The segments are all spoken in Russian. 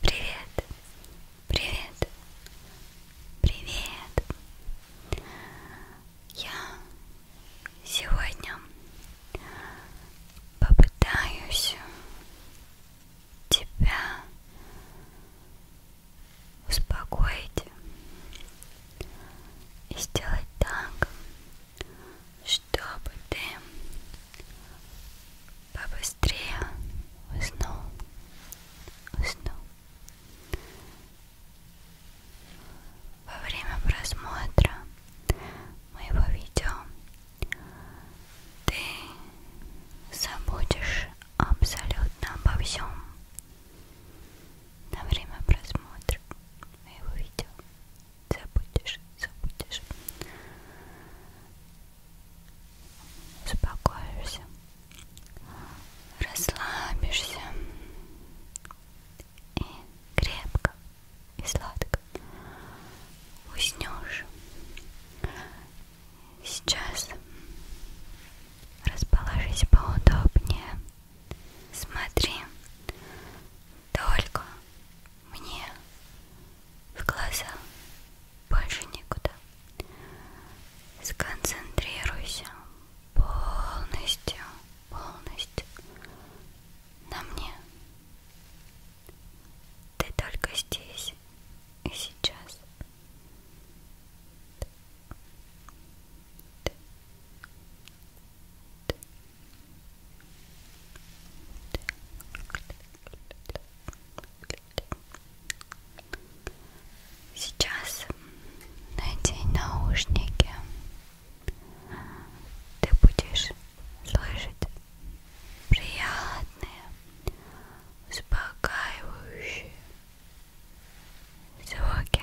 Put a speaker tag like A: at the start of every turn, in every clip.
A: Привет, привет, привет. Я сегодня попытаюсь тебя успокоить и сделать так, чтобы ты побыстрее уснул, уснул. Во время просмотра моего видео ты забудешь абсолютно обо всем на время просмотра моего видео забудешь, забудешь. Успокоишься, расслабишься и крепко и сладко уснешь. Сейчас расположись поудобнее. Смотри только мне в глаза, больше никуда. Сконцентрируйся полностью, полностью на мне. Ты только здесь и сейчас. Ты, ты, ты, Сейчас надень наушники. Ты будешь слышать приятные, успокаивающие звуки.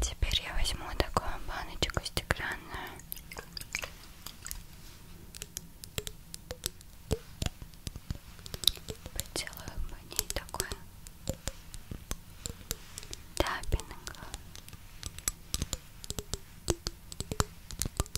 A: Теперь я возьму такую баночку стеклянную. Поделаю по ней такой тапинг.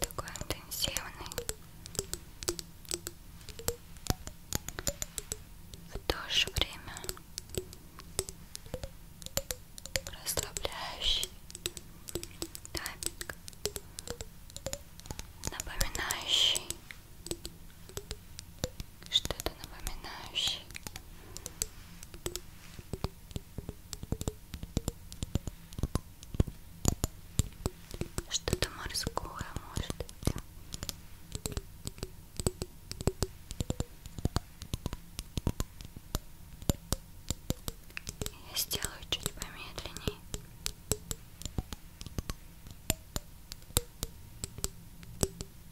A: такой интенсивный в то же время расслабляющий тапик напоминающий что-то напоминающий что-то морское, может быть. Я сделаю чуть помедленнее.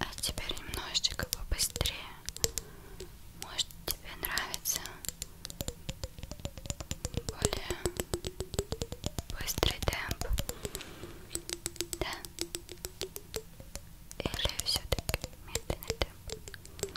A: А теперь немножечко побыстрее. Может, тебе нравится более быстрый темп? Да? Или все-таки медленный темп?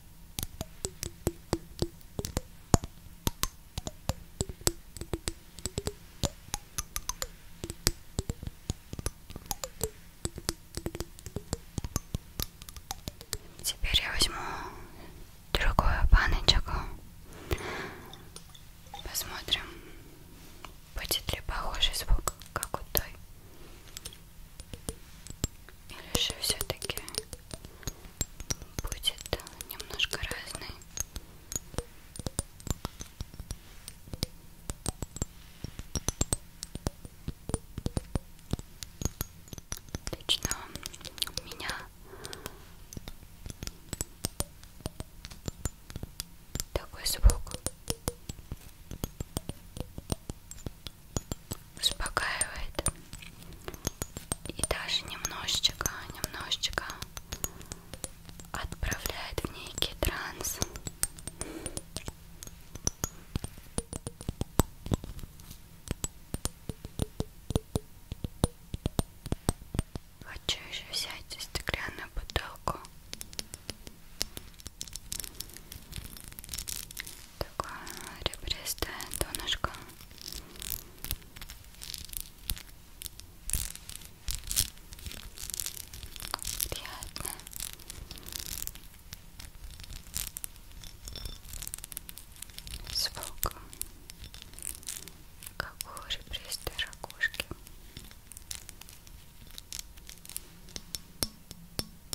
A: Теперь я возьму другую баночку. Посмотрим, будет ли похожий звук, как у той. Или же все-таки будет немножко разный? Лично меня такой звук успокаивает и даже немножечко, немножечко отправляет в некий транс. Хочу еще взять стеклянную бутылку. Такое ребристое донышко. Приятно. Звук, как у ребристой ракушки.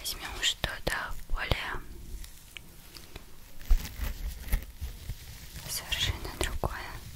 A: Возьмем что-то более совершенно другое.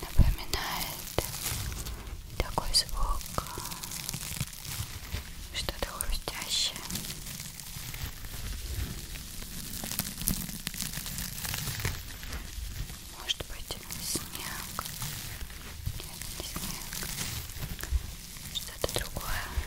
A: Напоминает такой звук, что-то хрустящее. Может быть снег. Нет, не снег. Что-то другое.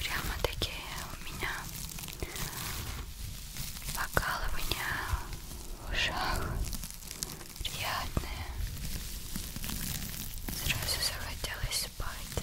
A: Прямо такие у меня покалывания в ушах приятные. Сразу захотелось спать.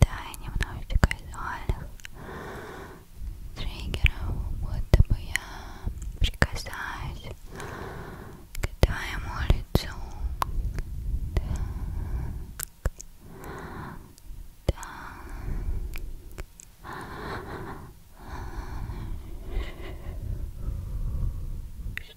A: да и немного казуальных триггеров, будто бы я прикасаюсь к твоему лицу. Так, так. Что?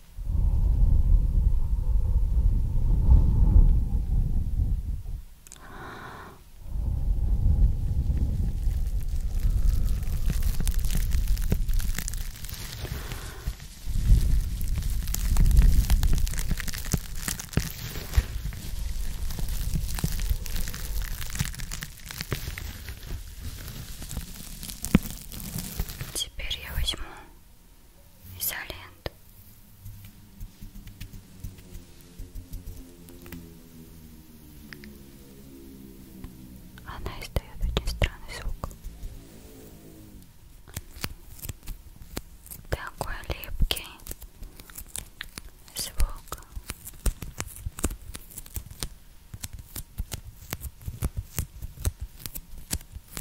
A: Теперь я возьму изоленту вариант. Она издает очень странный звук. Такой липкий звук.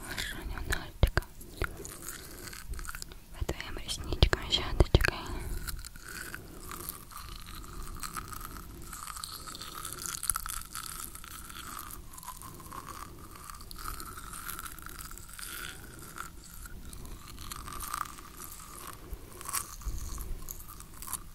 A: Хорошо, нальчиком. По твоим ресничкам, щеточкой. Хорошо,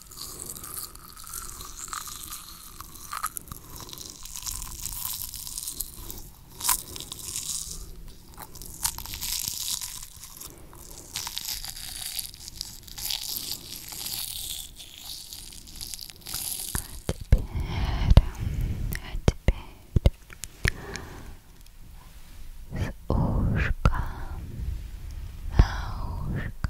A: А теперь, а теперь с ушка на ушко.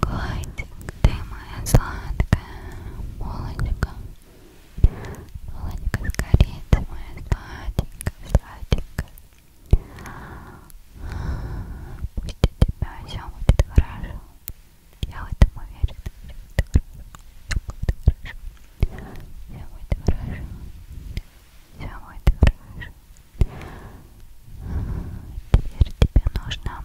A: Котик, ты моя сладкая булочка. Булочка с корицей, моя сладенькая, сладенькая. Пусть у тебя все будет хорошо. Я в этом уверена. Все будет хорошо. Все будет хорошо. Все будет хорошо. Все будет хорошо. Теперь тебе нужно